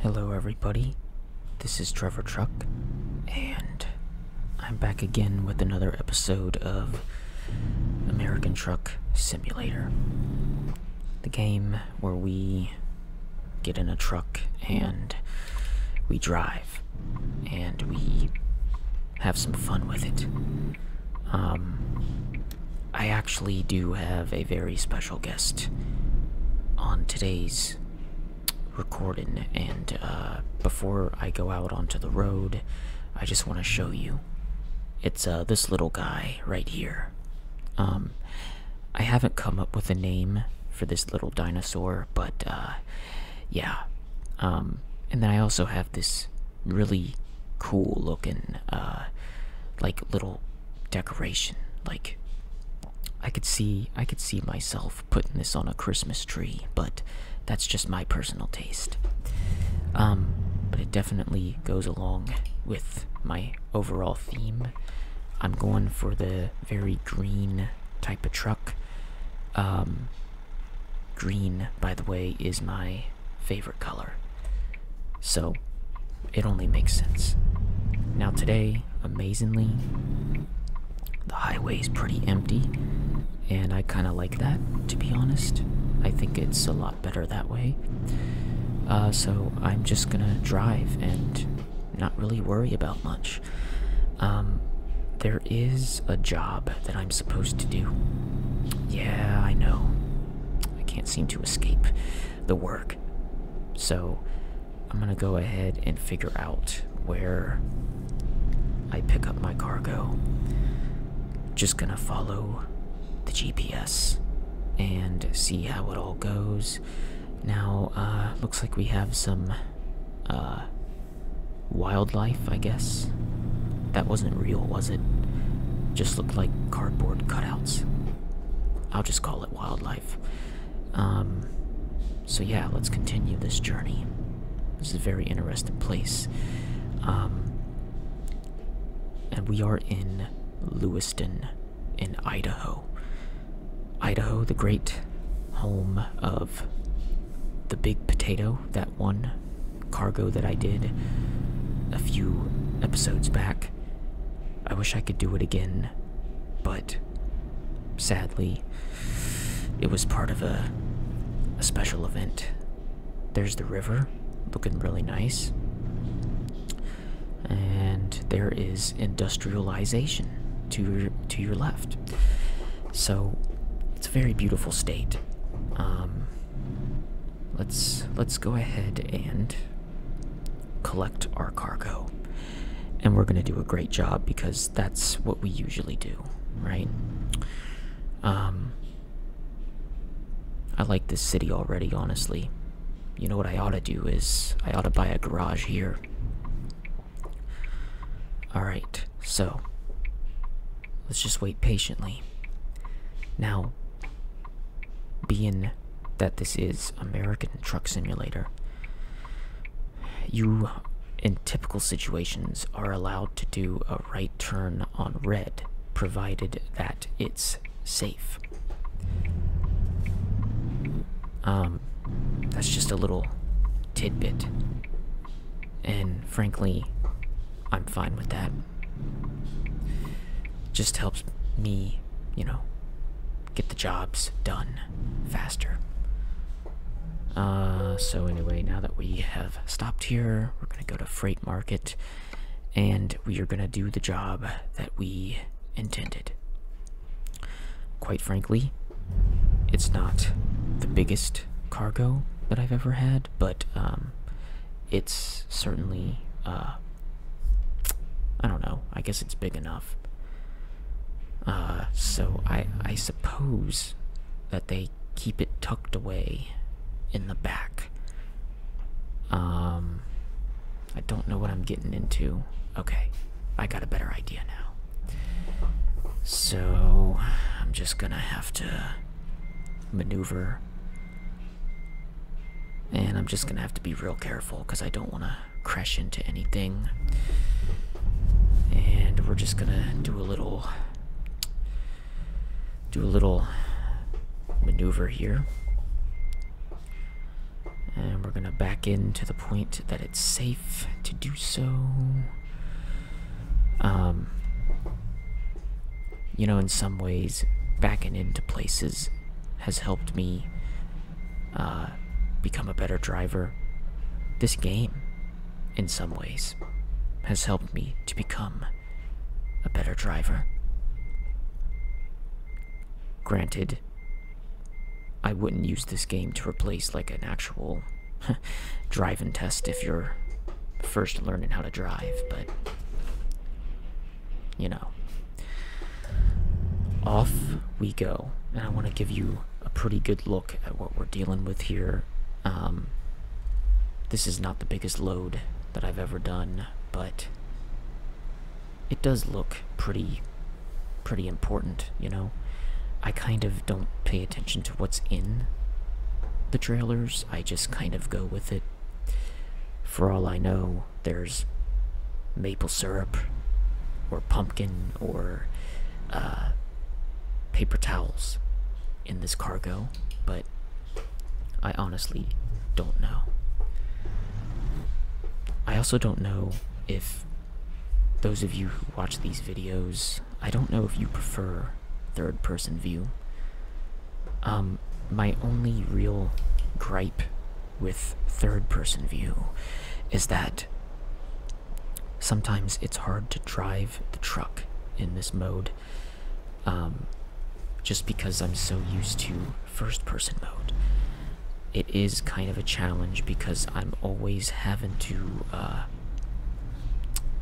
Hello, everybody. This is Trevor Truck, and I'm back again with another episode of American Truck Simulator. The game where we get in a truck and we drive and we have some fun with it. Um, I actually do have a very special guest on today's recording. And uh, before I go out onto the road, I just want to show you. It's uh, this little guy right here. Um, I haven't come up with a name for this little dinosaur, but uh, yeah. Um, and then I also have this really cool looking, like little decoration. Like I could see I could see myself putting this on a Christmas tree, but that's just my personal taste. Um, but it definitely goes along with my overall theme. I'm going for the very green type of truck. Um, green, by the way, is my favorite color. So it only makes sense. Now, today, amazingly, the highway is pretty empty, and I kind of like that, to be honest. I think it's a lot better that way. Uh, so, I'm just gonna drive and not really worry about much. Um, there is a job that I'm supposed to do. Yeah, I know. I can't seem to escape the work. So, I'm gonna go ahead and figure out where I pick up my cargo. Just gonna follow the GPS and see how it all goes. Now, uh, looks like we have some uh, wildlife, I guess. That wasn't real, was it? Just looked like cardboard cutouts. I'll just call it wildlife. Um, so, yeah, let's continue this journey. This is a very interesting place. Um, and we are in Lewiston, in Idaho. Idaho, the great home of the big potato, that one cargo that I did a few episodes back. I wish I could do it again, but sadly, it was part of a, special event. There's the river, looking really nice. And there is industrialization to your, to your left. So it's a very beautiful state. Um, let's let's go ahead and collect our cargo. And we're going to do a great job because that's what we usually do, right? Um, I like this city already, honestly. You know what I ought to do is I ought to buy a garage here. Alright, so let's just wait patiently. Now, being that this is American Truck Simulator. You, in typical situations, are allowed to do a right turn on red, provided that it's safe. Um, that's just a little tidbit. And frankly, I'm fine with that. Just helps me, you know, get the jobs done faster. Uh, so anyway, now that we have stopped here, we're gonna go to Freight Market, and we are gonna do the job that we intended. Quite frankly, it's not the biggest cargo that I've ever had, but um, it's certainly uh, I don't know. I guess it's big enough. Uh, so I I suppose that they keep it tucked away in the back. Um, I don't know what I'm getting into. Okay, I got a better idea now. So I'm just gonna have to maneuver. And I'm just gonna have to be real careful because I don't wanna crash into anything. And we're just gonna do a little do a little maneuver here. And we're gonna back in to the point that it's safe to do so. Um you know in some ways backing into places has helped me uh, become a better driver. This game, in some ways, has helped me to become a better driver. Granted, I wouldn't use this game to replace like an actual drive and test if you're first learning how to drive, but you know. Off we go, and I want to give you a pretty good look at what we're dealing with here. Um, this is not the biggest load that I've ever done, but it does look pretty, pretty important. You know, I kind of don't pay attention to what's in the trailers. I just kind of go with it. For all I know, there's maple syrup or pumpkin or uh, paper towels in this cargo, but I honestly don't know. I also don't know if those of you who watch these videos, I don't know if you prefer third person view. Um, my only real gripe with third person view is that sometimes it's hard to drive the truck in this mode um, just because I'm so used to first person mode. It is kind of a challenge because I'm always having to uh,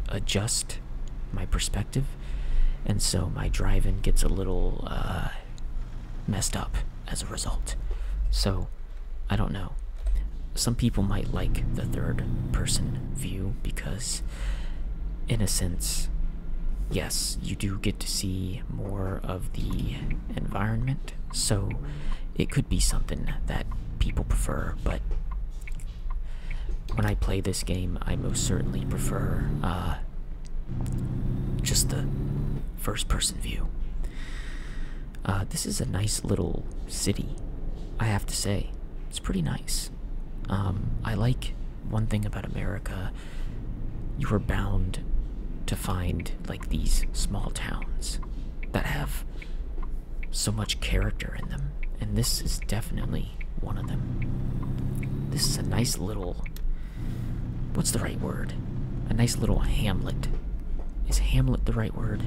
adjust my perspective, and so my driving gets a little uh, messed up as a result. So, I don't know. Some people might like the third person view because, in a sense, yes, you do get to see more of the environment. So, it could be something that people prefer, but when I play this game, I most certainly prefer uh, just the first person view. Uh, this is a nice little city, I have to say. It's pretty nice. Um, I like one thing about America you are bound to find like these small towns that have so much character in them, and this is definitely one of them. This is a nice little What's the right word? A nice little hamlet. Is hamlet the right word?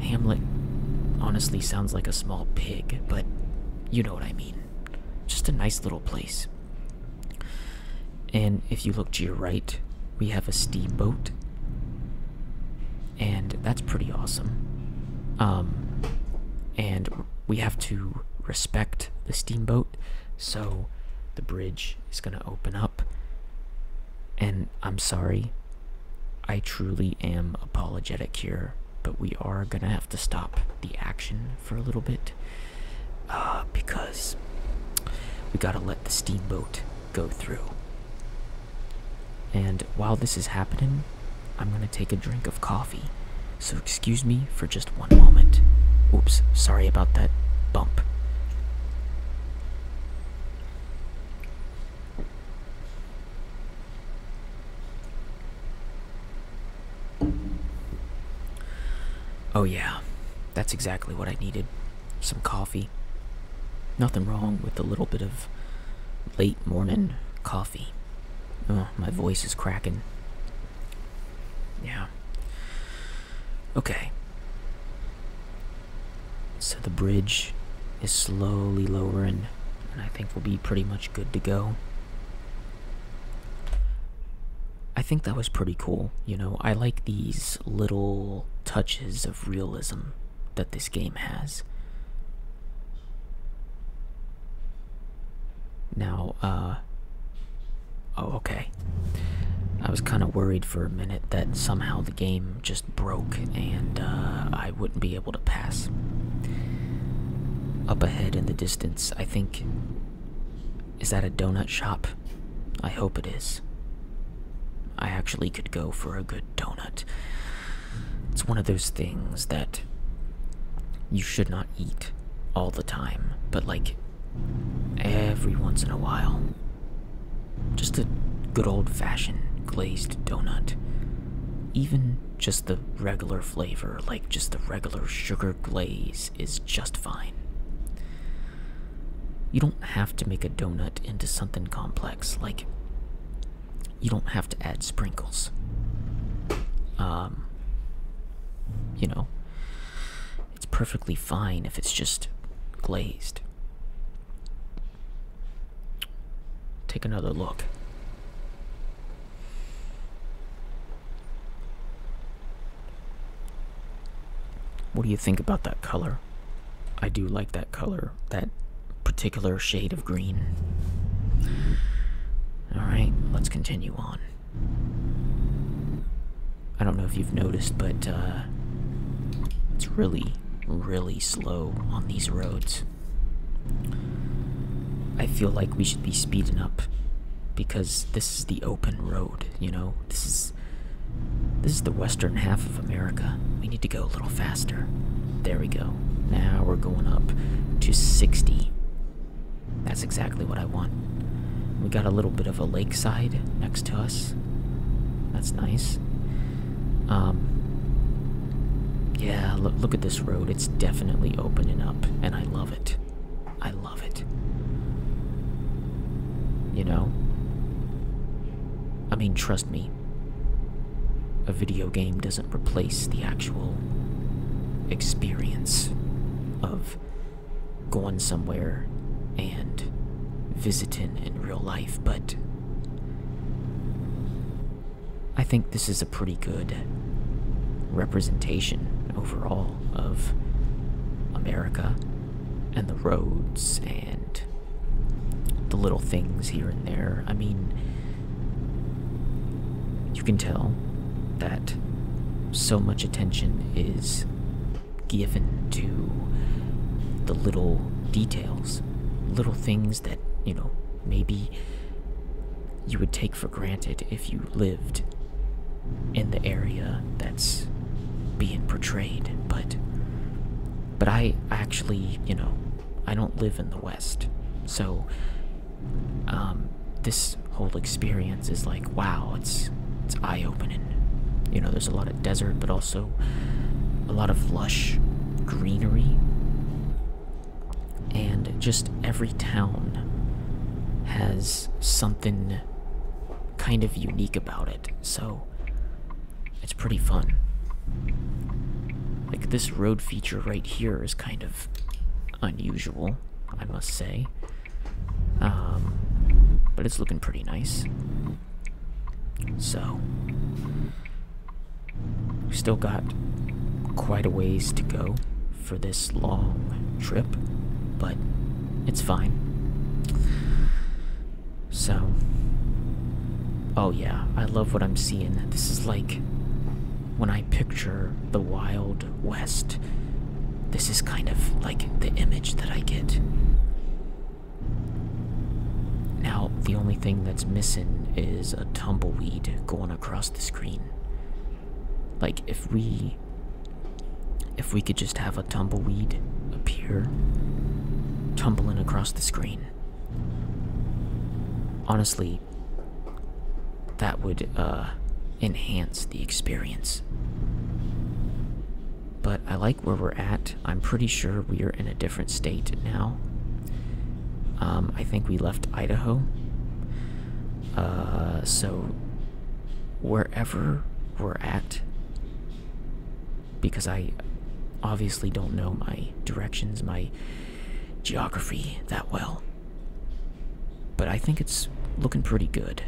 Hamlet honestly sounds like a small pig, but you know what I mean. Just a nice little place. And if you look to your right, we have a steamboat. And that's pretty awesome. Um, and we have to respect the steamboat so the bridge is going to open up. And I'm sorry. I truly am apologetic here, but we are going to have to stop the action for a little bit uh, because we got to let the steamboat go through. And while this is happening, I'm going to take a drink of coffee. So, excuse me for just one moment. Oops, sorry about that bump. Oh, yeah, that's exactly what I needed some coffee. Nothing wrong with a little bit of late morning coffee. Oh, my voice is cracking. Yeah. Okay. So the bridge is slowly lowering, and I think we'll be pretty much good to go. I think that was pretty cool. You know, I like these little touches of realism that this game has. Now, uh, Oh, okay. I was kind of worried for a minute that somehow the game just broke and uh, I wouldn't be able to pass. Up ahead in the distance, I think. Is that a donut shop? I hope it is. I actually could go for a good donut. It's one of those things that you should not eat all the time, but like every once in a while. Just a good old fashioned glazed donut. Even just the regular flavor, like just the regular sugar glaze, is just fine. You don't have to make a donut into something complex, like you don't have to add sprinkles. Um, you know, it's perfectly fine if it's just glazed. Take another look. What do you think about that color? I do like that color, that particular shade of green. Alright, let's continue on. I don't know if you've noticed, but uh, it's really, really slow on these roads. I feel like we should be speeding up because this is the open road, you know? This is this is the western half of America. We need to go a little faster. There we go. Now we're going up to 60. That's exactly what I want. We got a little bit of a lakeside next to us. That's nice. Um, yeah, look, look at this road. It's definitely opening up, and I love it. I love it. You know? I mean, trust me. A video game doesn't replace the actual experience of Going somewhere and visiting in real life, but I think this is a pretty good representation overall of America and the roads and the little things here and there. I mean, you can tell that so much attention is given to the little details, little things that, you know, maybe you would take for granted if you lived in the area that's being portrayed, but but I actually, you know, I don't live in the West. So um this whole experience is like wow it's it's eye-opening you know there's a lot of desert but also a lot of lush greenery and just every town has something kind of unique about it so it's pretty fun like this road feature right here is kind of unusual i must say um, but it's looking pretty nice. So, we still got quite a ways to go for this long trip, but it's fine. So, oh yeah, I love what I'm seeing. This is like when I picture the Wild West this is kind of like the image that I get. Now, the only thing that's missing is a tumbleweed going across the screen. Like, if we. If we could just have a tumbleweed appear, tumbling across the screen. Honestly, that would uh, enhance the experience but I like where we're at. I'm pretty sure we are in a different state now. Um, I think we left Idaho. Uh, so, wherever we're at, because I obviously don't know my directions, my geography that well, but I think it's looking pretty good.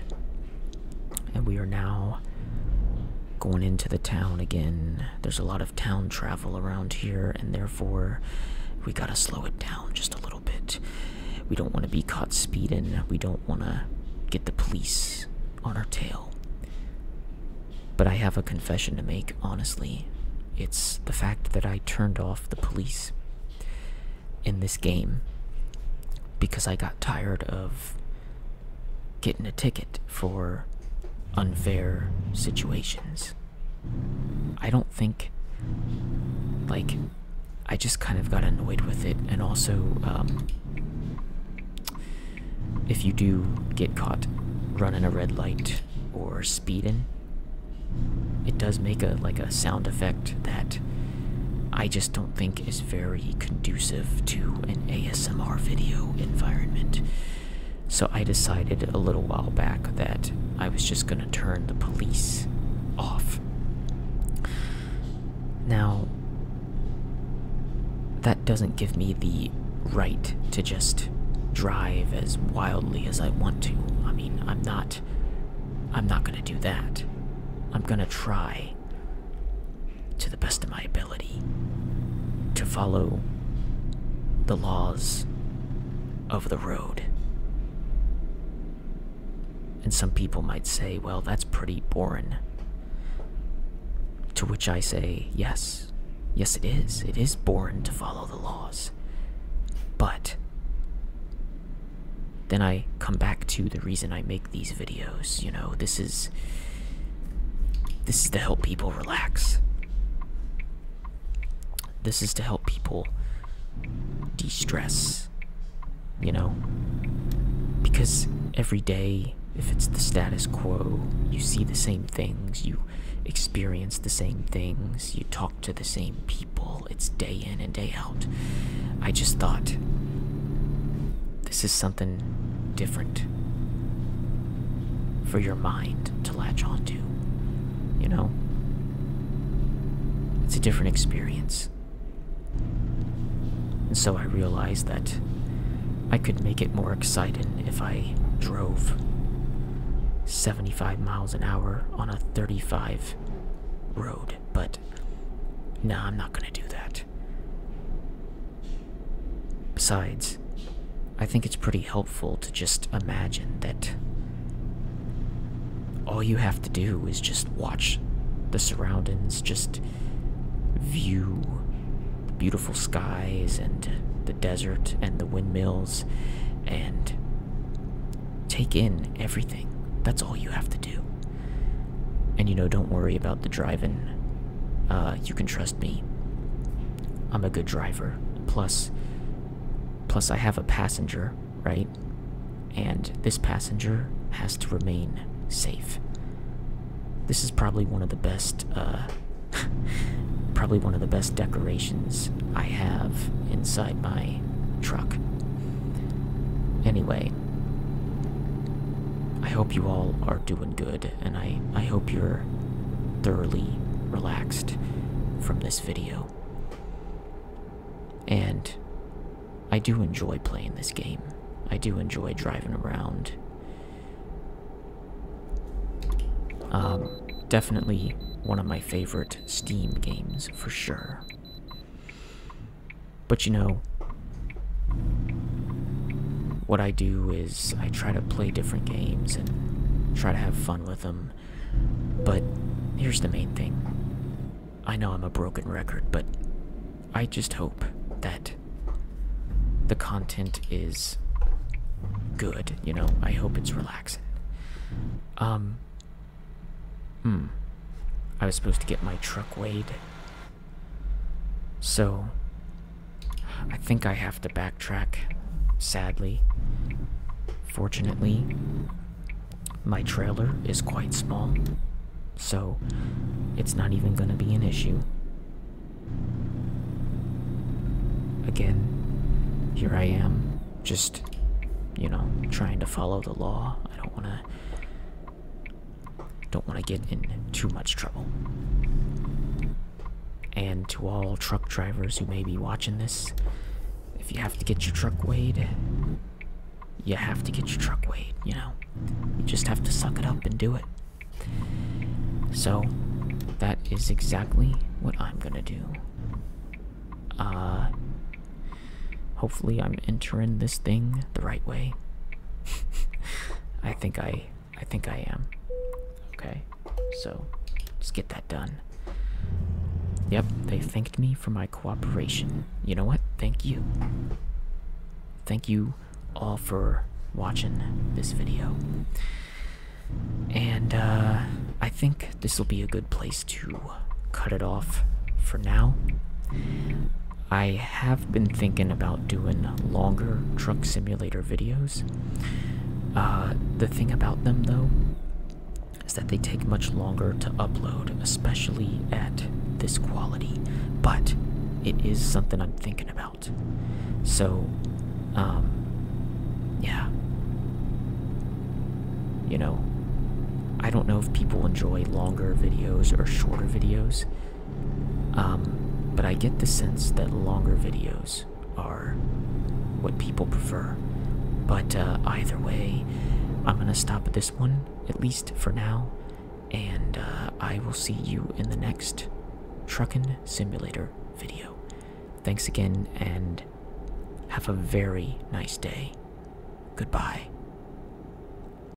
And we are now going into the town again. There's a lot of town travel around here, and therefore we gotta slow it down just a little bit. We don't want to be caught speeding, we don't want to get the police on our tail. But I have a confession to make, honestly. It's the fact that I turned off the police in this game because I got tired of getting a ticket for unfair situations. I don't think, like, I just kind of got annoyed with it, and also, um, if you do get caught running a red light or speeding, it does make a like a sound effect that I just don't think is very conducive to an ASMR video environment. So I decided a little while back that I was just going to turn the police off. Now, that doesn't give me the right to just drive as wildly as I want to. I mean, I'm not I'm not going to do that. I'm going to try to the best of my ability to follow the laws of the road. And some people might say, well, that's pretty boring. To which I say, yes, yes, it is. It is boring to follow the laws. But then I come back to the reason I make these videos. You know, this is this is to help people relax. This is to help people de-stress. You know, because every day, if it's the status quo, you see the same things, you experience the same things, you talk to the same people. It's day in and day out. I just thought this is something different for your mind to latch onto. You know? It's a different experience. And so I realized that I could make it more exciting if I drove 75 miles an hour on a 35 road, but now I'm not gonna do that. Besides, I think it's pretty helpful to just imagine that all you have to do is just watch the surroundings, just view the beautiful skies and the desert and the windmills and take in everything. That's all you have to do. And you know, don't worry about the driving. Uh, you can trust me. I'm a good driver. Plus, plus I have a passenger, right? And this passenger has to remain safe. This is probably one of the best, uh, probably one of the best decorations I have inside my truck. Anyway, I hope you all are doing good and I I hope you're thoroughly relaxed from this video. And I do enjoy playing this game. I do enjoy driving around. Um, definitely one of my favorite Steam games for sure. But you know, what I do is I try to play different games and try to have fun with them. But here's the main thing I know I'm a broken record, but I just hope that the content is good, you know? I hope it's relaxing. Um. Hmm. I was supposed to get my truck weighed so, I think I have to backtrack, sadly. Fortunately, my trailer is quite small, so it's not even going to be an issue. Again, here I am, just, you know, trying to follow the law. I don't want to don't want to get in too much trouble. And to all truck drivers who may be watching this, if you have to get your truck weighed, you have to get your truck weighed, you know? You just have to suck it up and do it. So, that is exactly what I'm gonna do. Uh, hopefully, I'm entering this thing the right way? I think I I think I am. Okay. So let's get that done. Yep, they thanked me for my cooperation. You know what? Thank you. Thank you all for watching this video. And uh, I think this will be a good place to cut it off for now. I have been thinking about doing longer truck simulator videos. Uh, the thing about them, though, is that they take much longer to upload, especially at this quality. But it is something I'm thinking about. So, um, yeah. You know, I don't know if people enjoy longer videos or shorter videos. Um, but I get the sense that longer videos are what people prefer. But uh, either way, I'm gonna stop this one, at least for now, and uh, I will see you in the next Truckin' Simulator video. Thanks again, and have a very nice day. Goodbye.